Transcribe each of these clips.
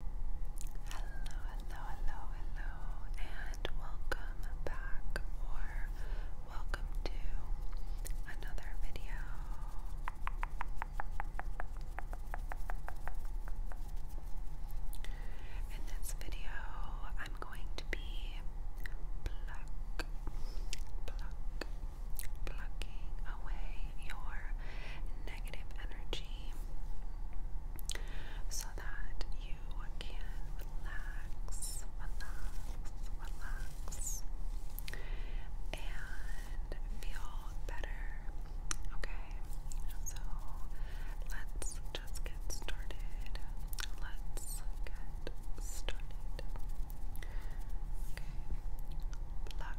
Hello, hello, hello, hello, and welcome back or welcome to another video. In this video, I'm going to be pluck, pluck, plucking away your negative energy so that you can relax, relax, and feel better. Okay, so let's just get started. Let's get started. Okay, pluck,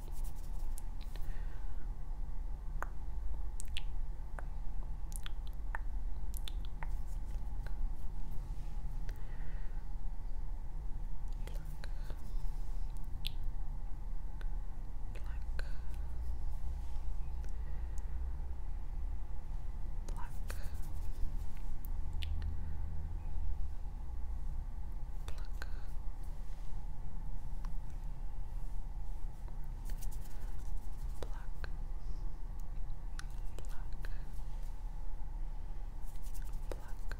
Black. Black. Black. Pluck. Pluck. Pluck. Pluck. Pluck.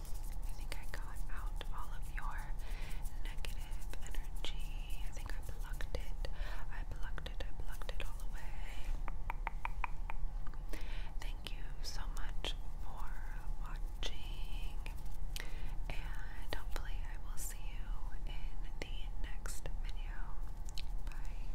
I think I got out all of your negative energy. I think I plucked it. I plucked it. I plucked it all away. Thank you so much for watching. And hopefully I will see you in the next video. Bye.